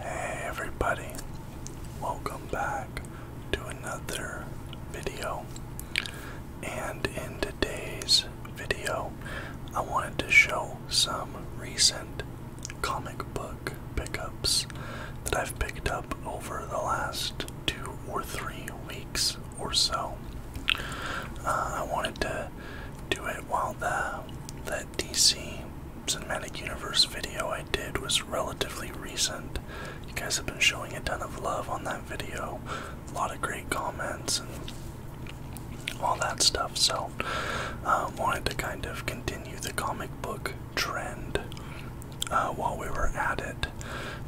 Hey everybody, welcome back to another video. And in today's video, I wanted to show some recent comic book pickups that I've picked up over the last two or three weeks or so. Uh, I wanted to do it while the DC Cinematic Universe video I did was relatively recent. You guys have been showing a ton of love on that video, a lot of great comments and all that stuff. So, um, wanted to kind of continue the comic book trend uh, while we were at it.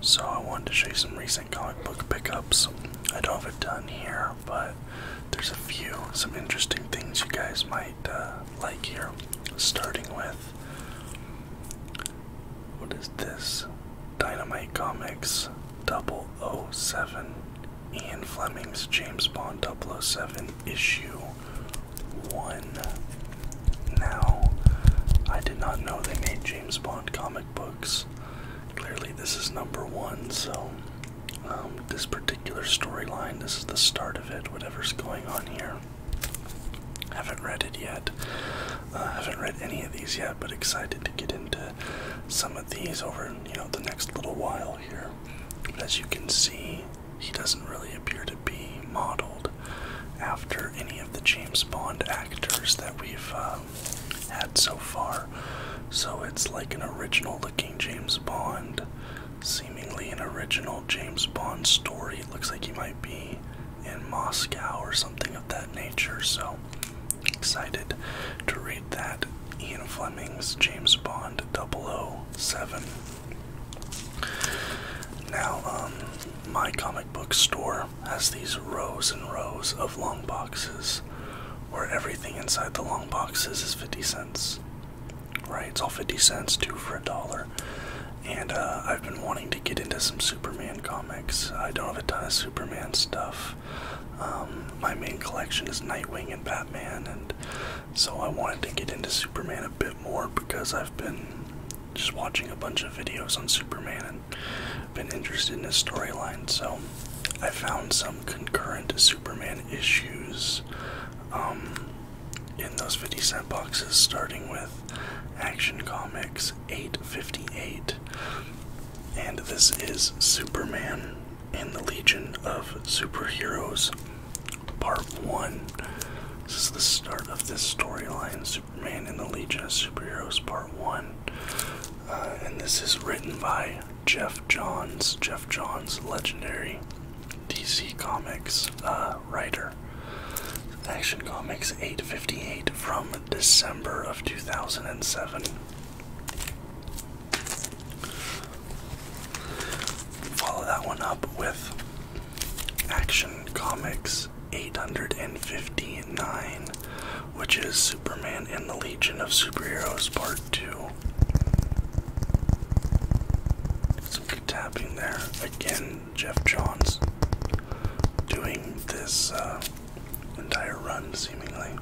So I wanted to show you some recent comic book pickups. I don't have it done here but there's a few, some interesting things you guys might uh, like here. Starting with what is this? Dynamite Comics 007. Ian Fleming's James Bond 007 issue 1. Now, I did not know they made James Bond comic books. Clearly, this is number one, so um, this particular storyline. This is the start of it, whatever's going on here. Haven't read it yet. Uh, haven't read any of these yet, but excited to get into some of these over, you know, the next little while here. as you can see, he doesn't really appear to be modeled after any of the James Bond actors that we've uh, had so far. So it's like an original looking James Bond, seemingly an original James Bond story. It looks like he might be in Moscow or something of that nature. So excited to read that. Ian Fleming's James Bond 007. Now, um, my comic book store has these rows and rows of long boxes cents, or everything inside the long boxes is 50 cents. Right? It's all 50 cents, two for a dollar. And uh, I've been wanting to get into some Superman comics. I don't have a ton of Superman stuff. Um, my main collection is Nightwing and Batman, and so I wanted to get into Superman a bit more because I've been just watching a bunch of videos on Superman and been interested in his storyline. So I found some concurrent Superman issues um, in those 50 cent boxes, starting with Action Comics 858. And this is Superman in the Legion of Superheroes, Part 1. This is the start of this storyline Superman in the Legion of Superheroes, Part 1. Uh, and this is written by Jeff Johns. Jeff Johns, legendary DC Comics uh, writer. Action Comics 858 from December of 2007. Follow that one up with Action Comics 859 which is Superman and the Legion of Superheroes Part 2. Some good tapping there. Again, Jeff Johns doing this uh, entire run, seemingly.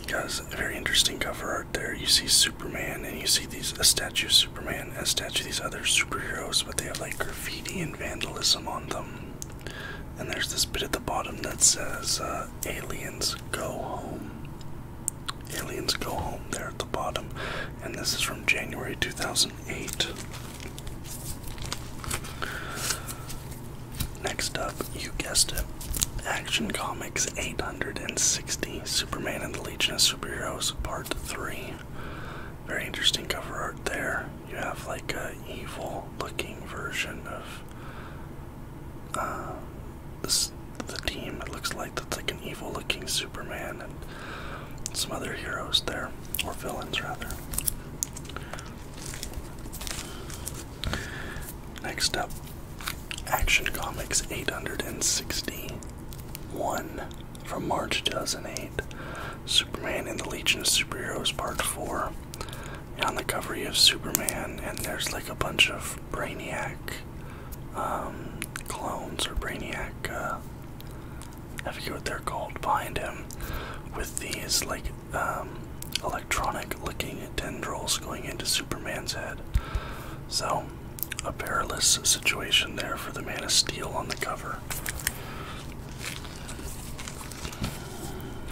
You guys, very interesting cover art there. You see Superman, and you see these a statue of Superman, a statue of these other superheroes, but they have like graffiti and vandalism on them. And there's this bit at the bottom that says uh, aliens go home. Aliens go home there at the bottom. And this is from January 2008. Next up, you guessed it Action Comics 860 Superman and the Legion of Superheroes Part 3. Very interesting cover art there you have like a evil looking version of um, the team. It looks like it's like an evil looking Superman and some other heroes there, or villains rather. Next up, Action Comics 861 from March 2008, Superman and the Legion of Superheroes Part 4 on the cover of Superman, and there's like a bunch of Brainiac um, clones or Brainiac. Uh, I forget what they're called behind him, with these like um, electronic-looking tendrils going into Superman's head. So, a perilous situation there for the Man of Steel on the cover.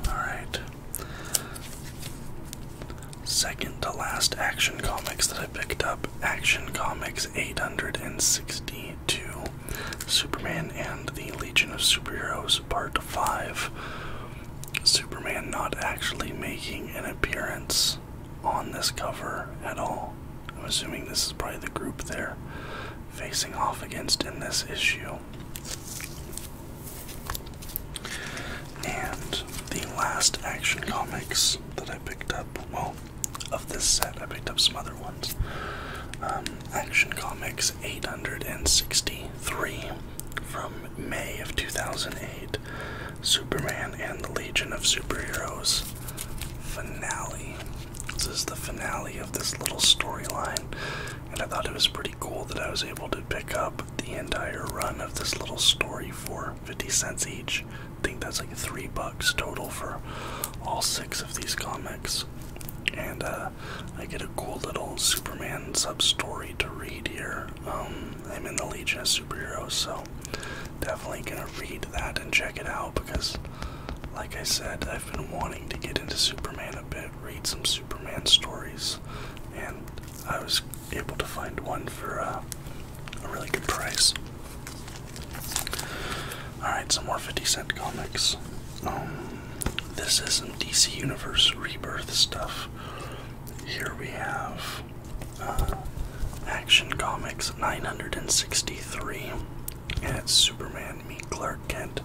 Alright. Second to last action comics that I picked up Action Comics 862 Superman and the Legion of Superheroes, Part 5. Superman not actually making an appearance on this cover at all. I'm assuming this is probably the group they're facing off against in this issue. And the last action comics that I picked up, well, of this set, I picked up some other ones. Um, action Comics 863 from May of 2008, Superman and the Legion of Superheroes finale. This is the finale of this little storyline, and I thought it was pretty cool that I was able to pick up the entire run of this little story for 50 cents each. I think that's like three bucks total for all six of these comics. And uh, I get a cool little Superman sub story to read here. Um, I'm in the Legion of Superheroes, so definitely gonna read that and check it out because like I said, I've been wanting to get into Superman a bit, read some Superman stories, and I was able to find one for uh, a really good price. Alright, some more 50 cent comics. Um, this is some DC Universe Rebirth stuff. Here we have uh, Action Comics 963 and it's Superman meet Clark Kent,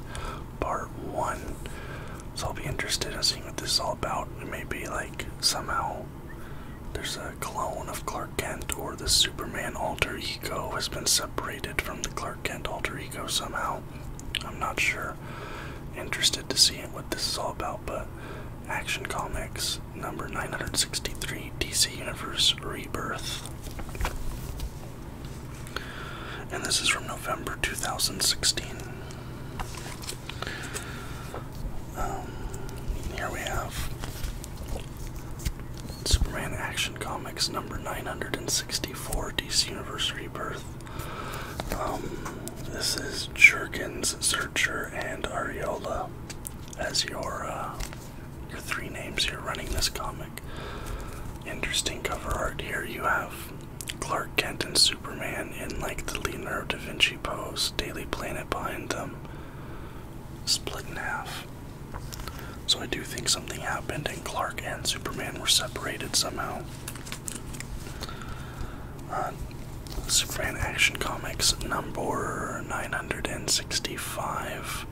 Part One. So I'll be interested in seeing what this is all about. It may be like somehow there's a clone of Clark Kent, or the Superman alter ego has been separated from the Clark Kent alter ego somehow. I'm not sure. Interested to see what this is all about, but Action Comics number 963 DC Universe Rebirth. And this is from November 2016. Um, here we have Superman Action Comics number 964 DC Universe Rebirth. Um, this is Jurgens, Searcher, and Ariola as your uh, your three names here running this comic. Interesting cover art here. You have Clark Kent and Superman in like the Leonardo da Vinci pose, Daily Planet behind them, split in half. So I do think something happened and Clark and Superman were separated somehow. Uh, Superman Action Comics number 965.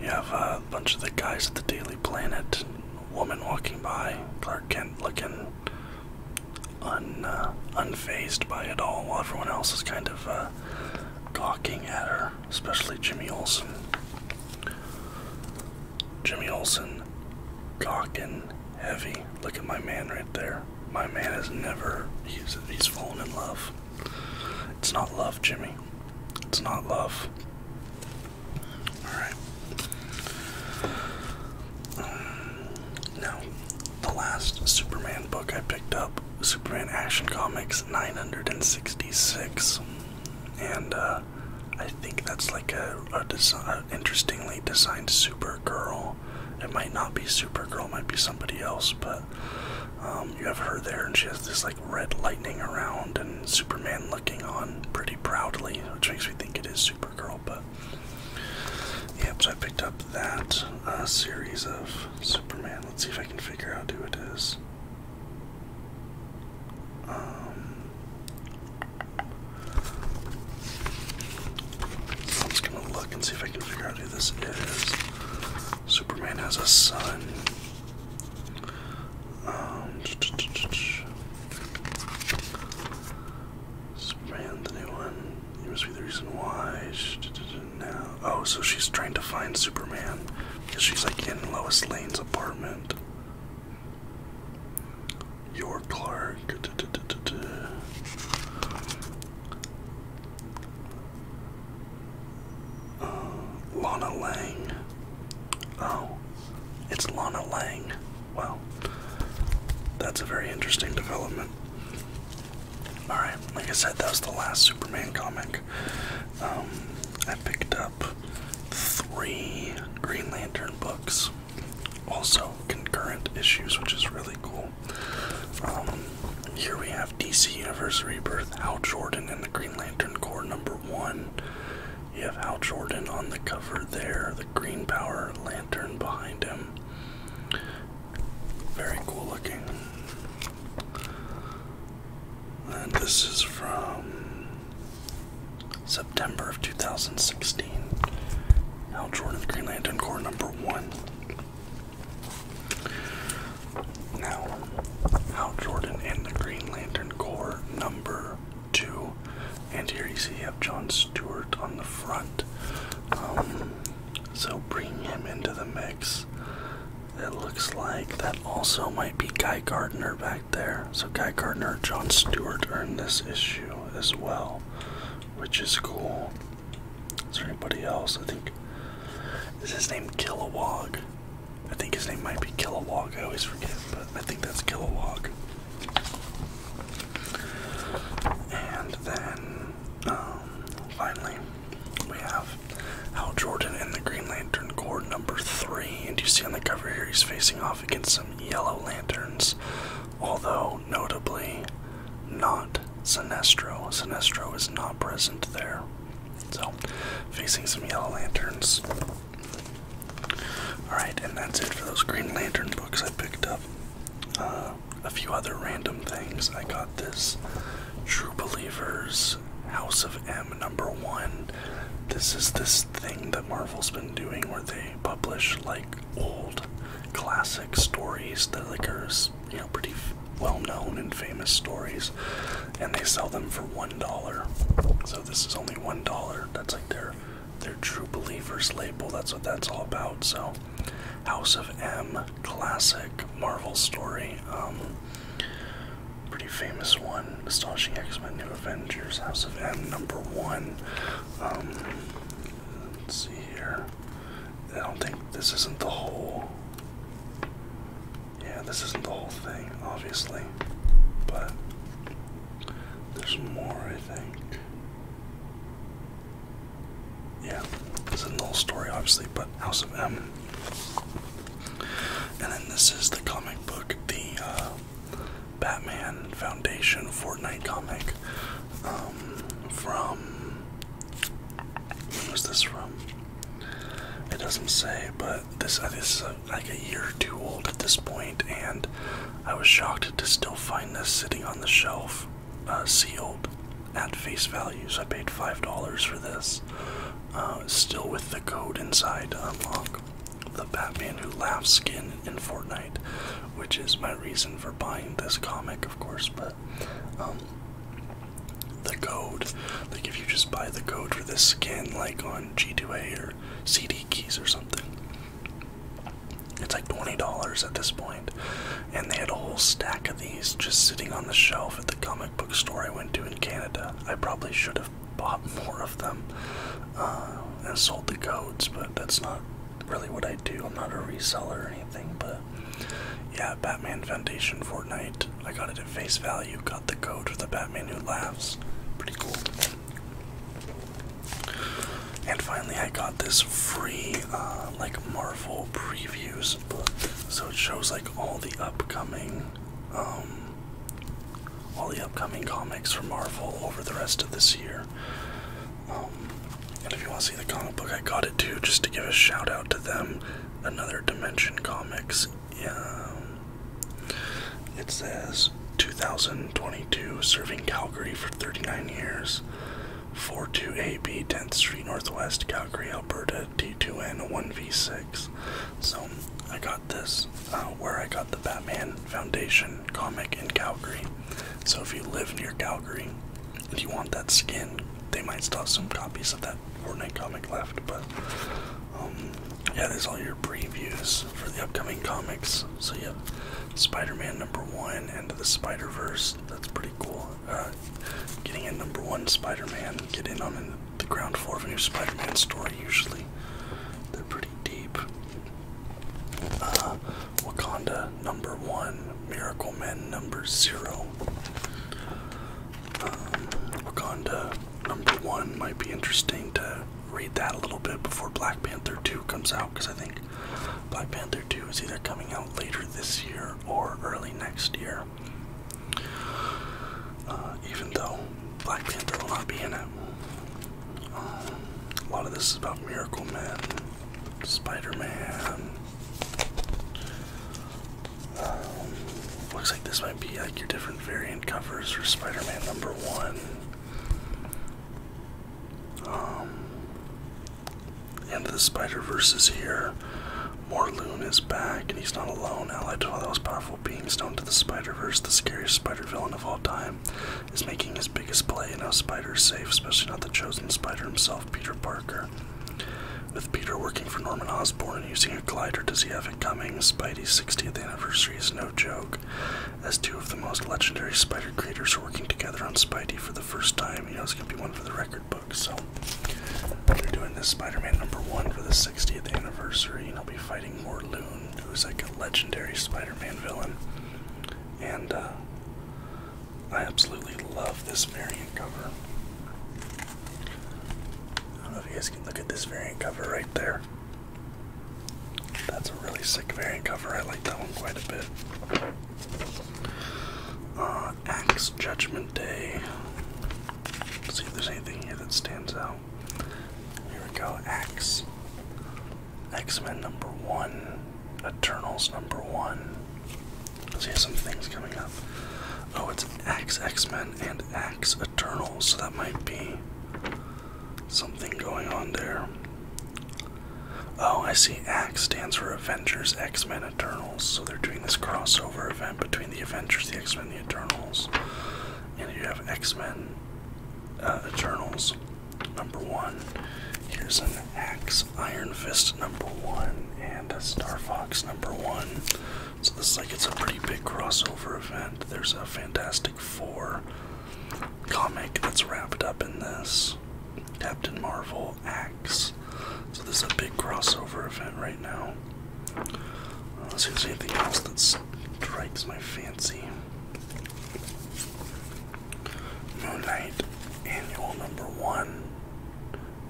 You have a bunch of the guys at the Daily Planet, woman walking by, Clark Kent looking un uh, unfazed by it all, while everyone else is kind of uh, gawking at her, especially Jimmy Olsen. Jimmy Olsen, gawking heavy. Look at my man right there. My man has never, he's, he's fallen in love. It's not love, Jimmy. It's not love. Alright. Um, now, the last Superman book I picked up Superman Action Comics 966. And, uh, I think that's like a, interestingly designed Supergirl. It might not be Supergirl, might be somebody else, but um, you have her there, and she has this like red lightning around and Superman looking on pretty proudly, which makes me think it is Supergirl. But yep, so I picked up that uh, series of Superman. Let's see if I can figure out who it is. Um, I'm just gonna look and see if I can figure out who this is. Superman has a son. Um, Spraying the must be the reason why. Oh, so she's trying to find Superman because she's like in Lois Lane's apartment. Your Clark. Um, Lana Lang. Oh, it's Lana Lang. Wow, that's a very interesting development. Alright, like I said, that was the last Superman comic. Um, I picked up three Green Lantern books, also concurrent issues, which is really cool. Um, here we have. DC Universe Rebirth, Hal Jordan, and the Green Lantern Corps number one. You have Hal Jordan on the cover there, the Green Power Lantern behind him. Very cool looking. And this is from September of 2016. Hal Jordan, Green Lantern Corps number one. Now, Hal Jordan and the Green Lantern Corps number two, and here you see you have John Stewart on the front. Um, so bring him into the mix. It looks like that also might be Guy Gardner back there. So Guy Gardner, John Stewart earned this issue as well, which is cool. Is there anybody else? I think. Is his name Kilowog? I think his name might be Kilowog. I always forget, but I think that's Kilowog. And then, um, finally, we have Hal Jordan and the Green Lantern Corps number three. And you see on the cover here, he's facing off against some yellow lanterns. Although, notably, not Sinestro. Sinestro is not present there. So, facing some Yellow Lanterns. Alright, and that's it for those Green Lantern books I picked up. Uh, a few other random things. I got this True Believers House of M number one. This is this thing that Marvel's been doing where they publish like old classic stories that like are you know pretty well-known and famous stories, and they sell them for one dollar. So this is only one dollar. That's like their their true believers label. That's what that's all about. So House of M, classic Marvel story. Um, pretty famous one. Astonishing X-Men, New Avengers, House of M, number one. Um, let's see here. I don't think this isn't the whole. Yeah, this isn't the whole thing, obviously. But there's more, I think. Yeah, it's a not story, obviously, but House of M. And then this is the comic book, the uh, Batman Foundation Fortnite comic um, from. When was this from? It doesn't say, but this is like a year or two old at this point, and I was shocked to still find this sitting on the shelf, uh, sealed, at face value. So I paid five dollars for this, uh, still with the code inside to um, unlock the Batman Who Laughs skin in Fortnite, which is my reason for buying this comic, of course. But um, the code. Like if you just buy the code for this skin, like on G2A or CD keys or something, it's like twenty dollars at this And they had a whole stack of these just sitting on the shelf at the comic book store I went to in Canada. I probably should have bought more of them uh, and sold the codes, but that's not really what I do. I'm not a reseller or anything, but yeah, Batman Foundation Fortnite. I got it at face value, got the code with the Batman Who Laughs. Pretty cool. And finally, I got this free, uh, like, Marvel previews book. So it shows, like, all the upcoming, um, all the upcoming comics from Marvel over the rest of this year. Um, and if you want to see the comic book, I got it too, just to give a shout out to them. Another Dimension Comics. Yeah. Um, it says 2022, serving Calgary for 39 years. four 42AB, 10th Street Northwest, Calgary, Alberta, T2N 1V6. So I got this uh, where I got the Batman Foundation comic in Calgary. So if you live near Calgary, if you want that skin, they might still some copies of that Fortnite comic left, but um, yeah, there's all your previews for the upcoming comics. So yeah, Spider-Man number one and the Spider-Verse. That's pretty cool. Uh, getting a number one Spider-Man, get in on the ground floor of a new Spider-Man story. Usually, they're pretty deep. Uh, Wakanda number one, Miracle Men number zero. Um, Wakanda number one might be interesting to read that a little bit before Black Panther 2 comes out because I think Black Panther 2 is either coming out later this year or early next year. Uh, even though Black Panther will not be in it. Um, a lot of this is about Miracle Men. Spider-Man. Um, looks like this might be like your different variant covers for Spider-Man number one. Um, and the Spider-Verse is here. Loon is back, and he's not alone. Allied to one all those powerful beings known to the Spider-Verse, the scariest Spider-Villain of all time is making his biggest play, and how Spider is safe, especially not the chosen Spider himself, Peter Parker. With Peter working for Norman Osborn and using a glider, does he have it coming? Spidey's 60th anniversary is no joke. As two of the most legendary Spider creators are working together on Spidey for the first time, you know it's going to be one for the record book. So, they're doing this Spider Man number one for the 60th anniversary, and i will be fighting more Morloon, who's like a legendary Spider Man villain. And, uh, I absolutely love this variant cover. I don't know if you guys can look at this variant cover right there. That's a really sick variant cover. I like that one quite a bit. Uh, Axe Judgment Day. see if there's anything here that stands out. Here we go, Axe. X-Men number one, Eternals number one. So you have some things coming up. Oh, it's Axe X-Men and X Eternals, so that might be something going on there. Oh, I see X stands for Avengers X-Men Eternals, so they're doing this crossover event between the Avengers, the X-Men, the Eternals. And you have X-Men uh, Eternals number one. Here's an Axe Iron Fist number one and a Star Fox number one. So this is like it's a pretty big crossover event. There's a Fantastic Four comic that's wrapped up in this. Captain Marvel Axe. So this is a big crossover event right now. Let's uh, see if there's anything else that strikes my fancy. Moon Knight Annual Number One.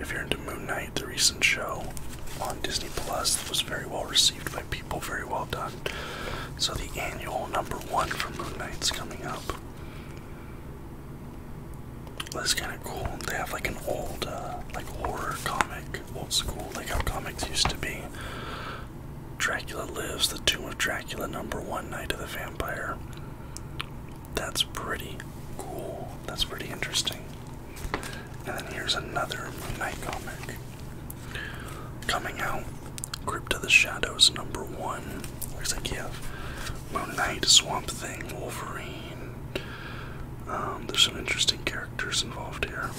If you're into Moon Knight, the recent show on Disney Plus was very well received by people, very well done. So the annual number one for Moon Knight is coming up. That's kind of cool. They have like an old, uh, like horror comic, old school, like how comics used to be. Dracula Lives, The Tomb of Dracula, number one, Night of the Vampire. That's pretty cool. That's pretty interesting. And then here's another Moon Knight comic. Coming out, Crypt of the Shadows, number one. Looks like you have Moon Knight, Swamp Thing, Wolverine. Um, there's some interesting characters involved here.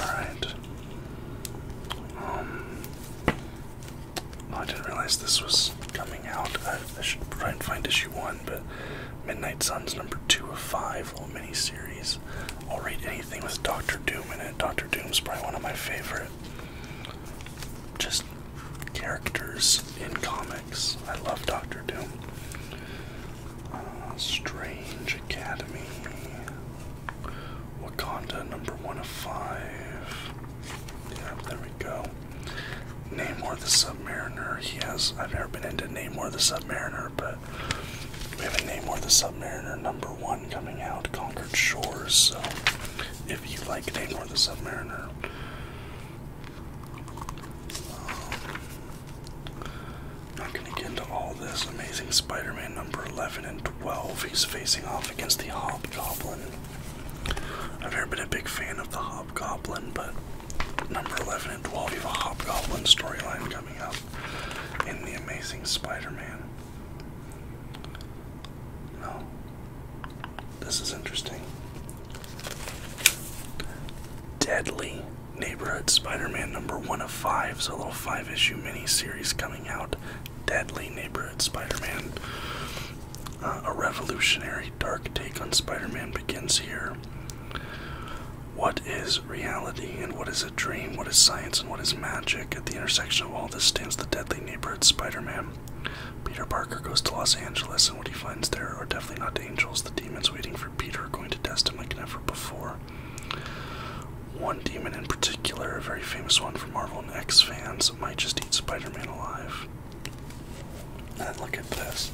Alright. Um, I didn't realize this was coming out. I, should try and find issue one, but Midnight Suns number two of five, little mini series. I'll read anything with Doctor Doom in it. Doctor Doom's probably one of my favorite. Just characters in comics. I love Doctor Doom. Uh, Strange Academy. Wakanda number one of five. Yeah, there we go. Namor the Submariner. Yes, I've never been into Namor the Submariner, but we have a Namor the Submariner number one coming out, Conquered Shores. So, if you like Namor the Submariner. Um, not going to get into all this. Amazing Spider Man number 11 and 12. He's facing off against the Hobgoblin. I've never been a big fan of the Hobgoblin, but number 11 and 12, you have a Hobgoblin storyline coming up in The Amazing Spider Man. No. This is interesting. Deadly Neighborhood Spider-Man number one of five, is a little five-issue mini-series coming out. Deadly Neighborhood Spider-Man. Uh, a revolutionary dark take on Spider-Man begins here. What is reality and what is a dream? What is science and what is magic? At the intersection of all this stands the deadly neighborhood Spider-Man. Peter Parker goes to Los Angeles, and what he finds there are definitely not angels. The demons waiting for Peter are going to test him like never before. One demon in particular, a very famous one for Marvel and X fans, might just eat Spider Man alive. And look at this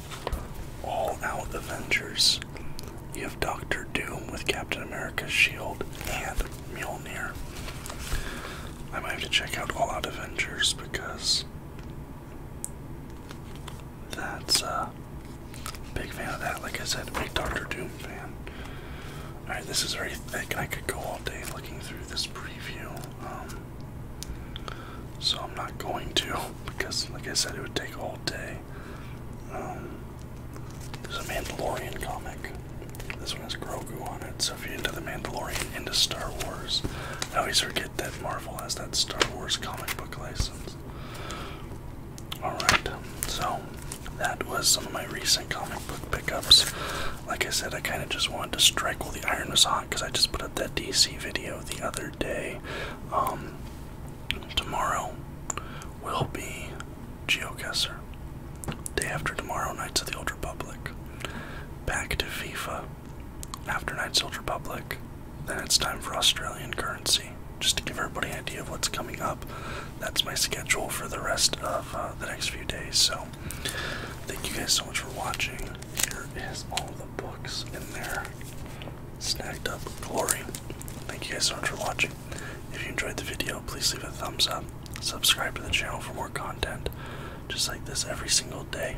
All Out Avengers. You have Doctor Doom with Captain America's shield and Mjolnir. I might have to check out All Out Avengers because that's uh, Big fan of that. Like I said, big Doctor Doom fan. Alright, this is very thick. I could go all day looking through this preview. Um, so I'm not going to because, like I said, it would take all day. Um, there's a Mandalorian comic. This one has Grogu on it. So if you're into the Mandalorian, into Star Wars, I always forget that Marvel has that Star Wars comic book license. Alright, so that was some of my recent comic book pickups. Like I said, I kind of just wanted to strike while the iron was hot because I just put up that DC video the other day. Um, tomorrow will be Geoguessr. Day after tomorrow, Nights of the Old Republic. Back to FIFA. After Nights of the Old Republic, then it's time for Australian currency. Just to give everybody an idea of what's coming up, that's my schedule for the rest of uh, the next few days. So, thank you guys so much for watching. Here is all the books in there, snacked up glory. Thank you guys so much for watching. If you enjoyed the video, please leave a thumbs up. Subscribe to the channel for more content just like this every single day.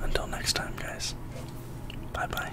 Until next time, guys. Bye bye.